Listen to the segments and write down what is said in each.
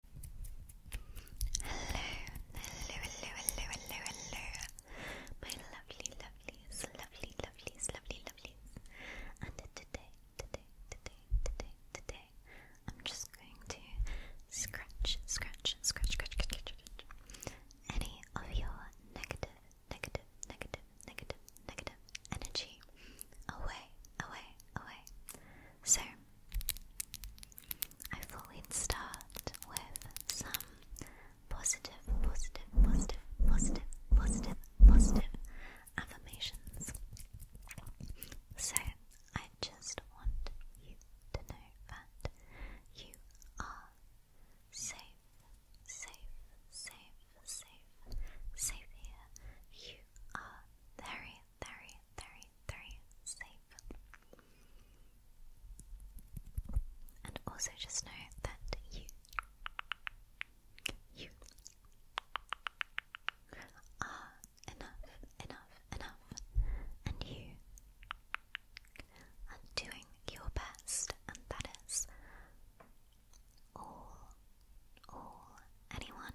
Hello, hello, hello, hello, hello, hello, my lovely, lovelies, lovely, lovelies, lovelies. And today, today, today, today, today, I'm just going to scratch, scratch, scratch, scratch, scratch, scratch any of your negative, negative, negative, negative, negative energy away, away, away. So I thought we'd start with some positive, positive, positive, positive, positive, positive affirmations. So, I just want you to know that you are safe, safe, safe, safe, safe here. You are very very, very, very safe. And also just know that you, you are enough, enough, enough, and you are doing your best, and that is all, all anyone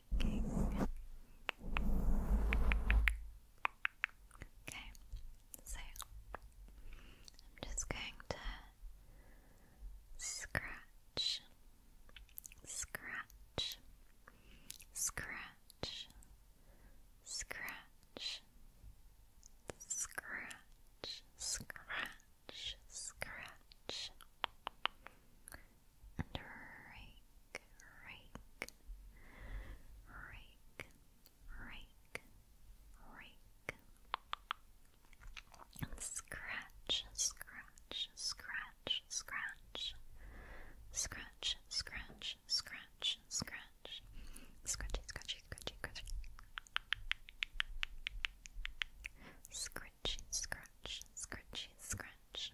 liking. Okay, so I'm just going to scratch, scratch, scratch, scratch, scratch, scratch, scratch and rake, rake, rake, rake, rake, and scratch, scratch, scratch, scratch, scratch, scratch, scratch, scratch, scratchy, scratchy, scratchy, scratchy. Scratchy, scratch, scratchy, scratch.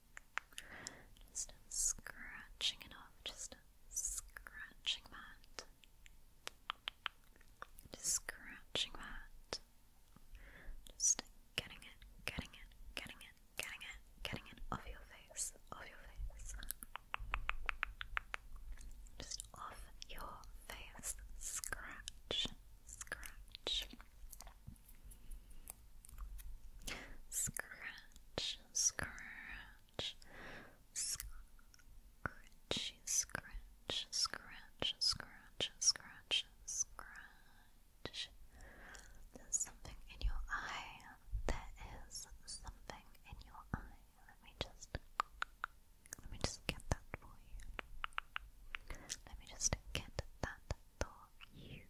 Just scratching it off, just scratching that. Just scratching that. Just getting it, getting it, getting it, getting it, getting it off your face, off your face. Just off your face. Scratch, scratch. Scratch, scratch, scratchy, scratch, scratch, scratch, scratch, scratch. There's something in your eye. There is something in your eye. Let me just let me just get that for you. Let me just get that for you.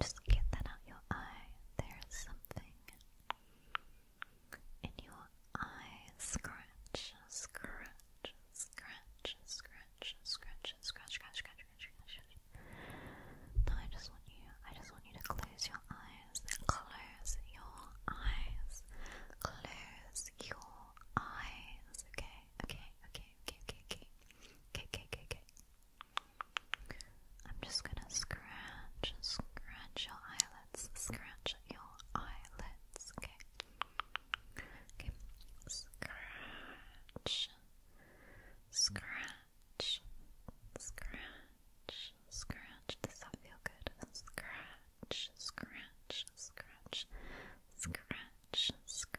Just get that out your eye. There's something in your eye. Scratch, scratch, scratch, scratch, scratch, scratch, scratch, scratch, scratch, scratch. No, I just want you. I just want you to close your eyes. Close your eyes. Close your eyes. Okay okay, okay, okay, okay, okay, okay, okay, okay, okay. I'm just gonna scratch, scratch your eyelids, scratch your eyelids, okay? Okay, scratch, scratch, scratch, scratch. Does that feel good? Scratch, scratch, scratch, scratch, scratch.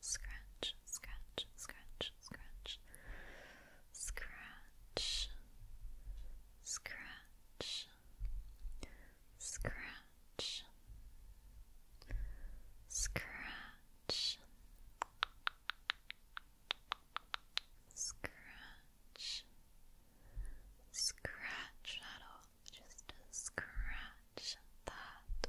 scratch, scratch, scratch, scratch, scratch, scratch, scratch, scratch. Scratch, scratch that all, just scratch that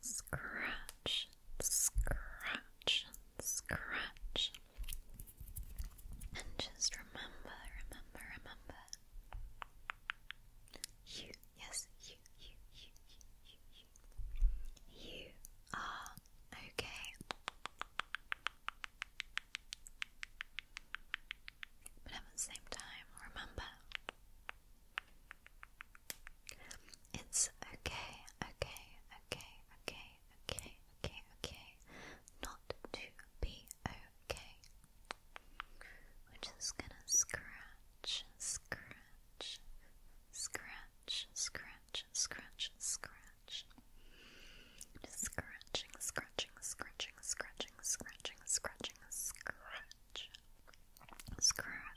Scratch, scratch, scratch. And just remember, remember, remember. You, yes, you, you, you, you, you, you. are okay. But at the same time, remember it's okay, okay, okay, okay, okay, okay, okay, not to be okay. We're just gonna scratch, scratch, scratch, scratch, scratch, scratch. scratching, scratching, scratching, scratching, scratching, scratching, scratch. Scratch,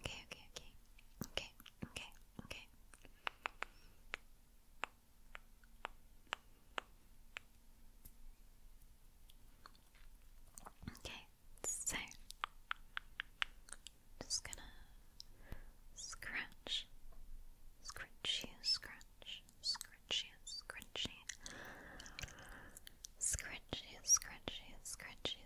Okay, okay, okay. Okay, okay, okay. Okay, so just gonna scratch, scratchy, you, scratch, scratch scratchy, scratch scratchy, scratch you, scratch you,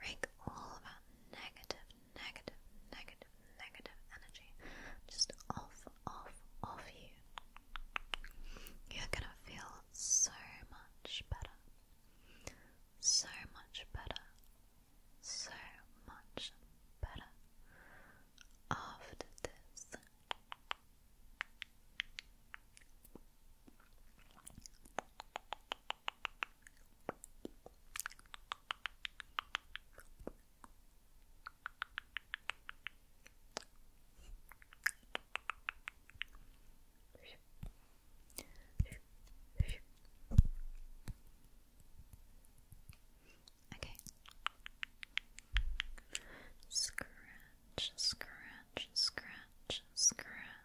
rake all of negative energy just off, off, off you. You're gonna feel so much better. So much better. So much better after this. Okay. Scratch, scratch, scratch, scratch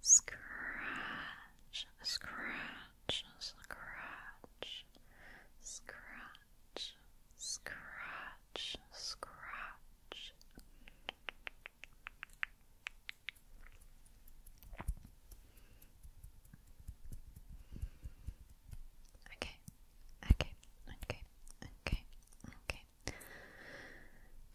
Scratch, scratch, scratch, scratch, scratch, scratch. Okay, okay, okay, okay, okay.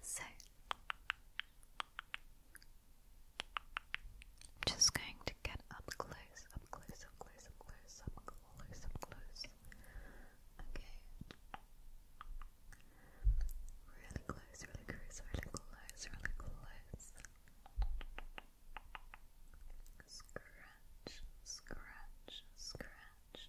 So, just going to get up close, up close, up close, up close, up close, up close. Okay. Really close, really close, really close, really close. Scratch, scratch, scratch.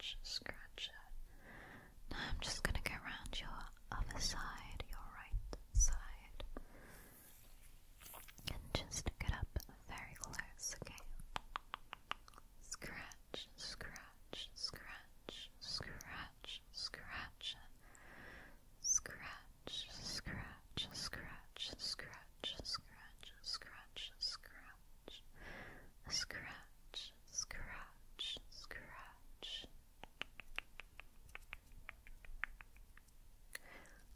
scratch, scratch it. Now I'm just gonna go around your other side, your right side, and just get up very close, okay? Scratch, scratch, scratch, scratch, scratch, scratch, scratch, scratch, scratch, scratch, scratch, scratch, scratch, scratch, scratch.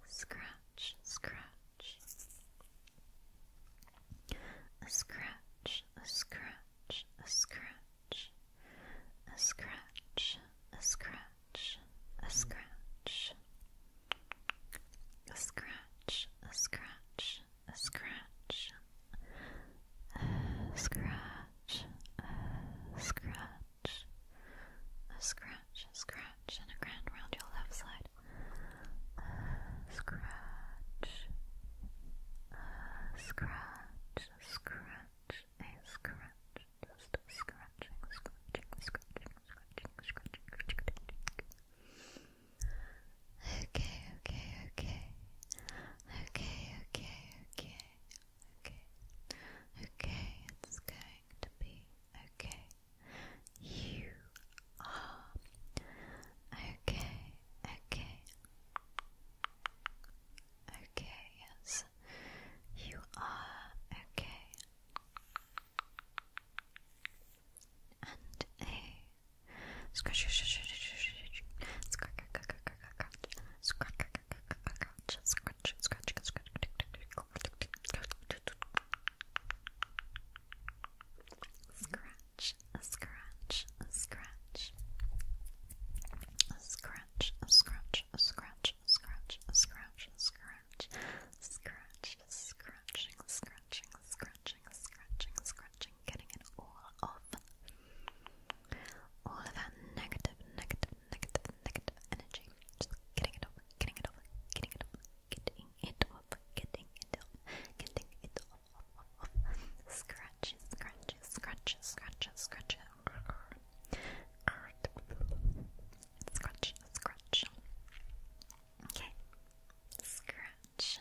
Scratch, scratch. A scratch, a scratch, a scratch. A scratch, a scratch, a scratch. A scratch, a scratch, scratch, a scratch, a scratch, a scratch, a scratch, and a grand round your left side. A scratch, a scratch, a scratch, a scratch, just scratching, scratching, scratching, scratching, scratching, scratching. Okay, okay, okay. Okay, okay, okay. Okay. Okay, it's going to be okay. You are okay, okay. Okay, yes. You are okay. And a Scratch, scratch, scratch, scratch, scratch, scratch, scratch, scratch. Scratch, scratch, scratch, scratch, scratch, scratch, scratch, scratching, scratching, scratching, scratching, scratching, scratching, getting it all off. All of that negative, negative, negative, negative energy. Just getting it off, getting it off, getting it off, getting it off, getting it off, getting it off, off, off, off. Scratch, scratch, scratch, scratch, scratch. Scratch, scratch. Okay. Scratch.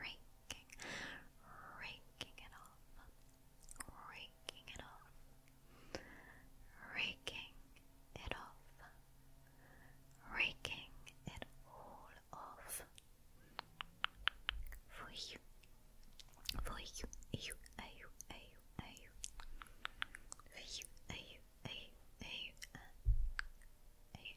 raking, raking, it off, raking it off, raking it off, raking it all off for you, for you, you, are you, you, you, you, you, you, you, you.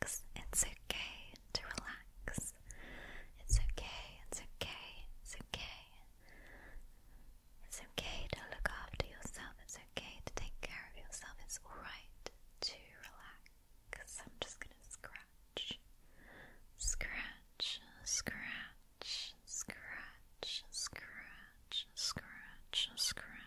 It's okay to relax. It's okay, it's okay, it's okay. It's okay to look after yourself. It's okay to take care of yourself. It's alright to relax. I'm just gonna scratch, scratch, scratch, scratch, scratch, scratch, scratch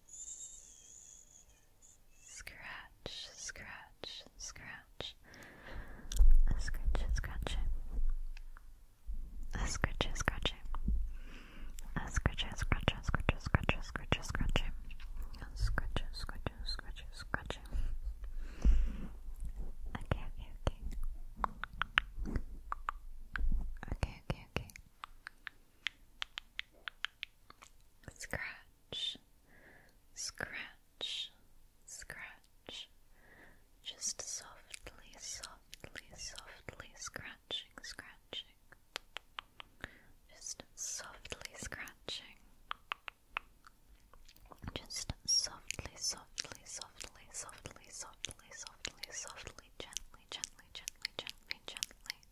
Scratch, scratch, scratch. A scratch, scratch. A scratch, scratch. A scratch, scratch, scratch, scratch, scratch, scratch. A scratch, scratch, scratch, scratch. Okay, okay, okay. Okay, okay, okay. Scratch, scratch, scratch. Just softly, softly, softly scratching, scratching. Just softly scratching. Just softly, softly, softly, softly, softly, softly, softly, gently, gently, gently, gently, gently.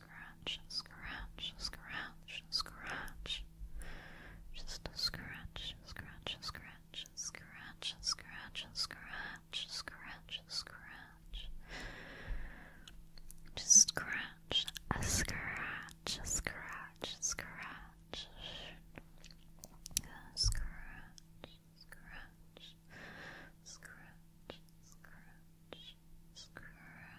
scratch, scratch, scratch, scratch. Just a scratch, scratch, scratch, scratch, scratch, scratch, scratch, scratch. Just scratch, a scratch, a scratch, scratch. A scratch, scratch, scratch, scratch, scratch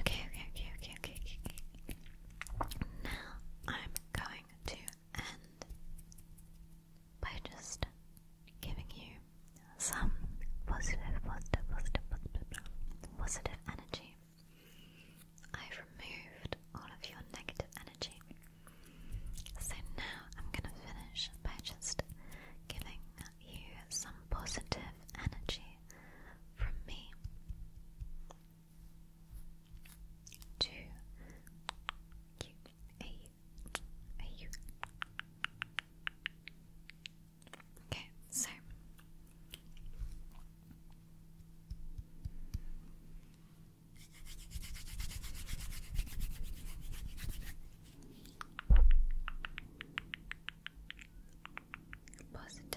Okay, okay, okay, okay, okay, Now I'm going to end by just giving you some positive, positive, positive, positive, positive energy. I've removed all of your negative energy. So now I'm going to finish by just giving you some positive energy from me. Two Q A U A U. Okay, so positive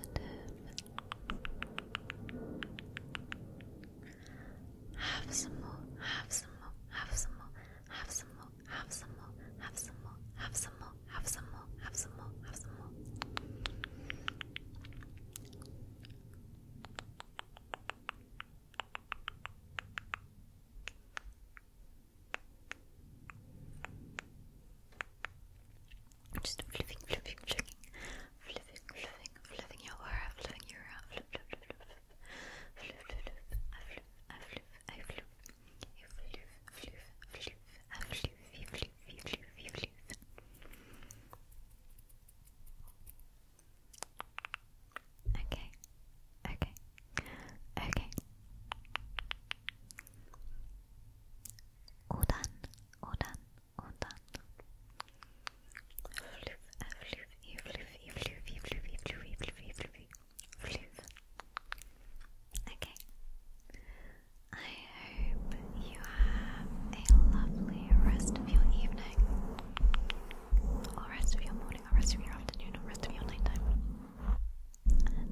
positive. Have some more, have some more, have some more, have some more, have some more, have some more, have some more, have some more, have some more, have some more. Just flipping, flipping, flipping, flipping, flipping, flipping your aura, flipping your aura, flip, flip, flip, flip, flip, flip, flip, I flip, I flip, I flip, you flip, flip, flip, I flip, you flip, you flip, you flip. Okay, okay, okay. Odan, odan, odan. Floof, floof, floof, Okay. I hope you have a lovely rest of your evening, or rest of your morning, or rest of your afternoon, or rest of your nighttime.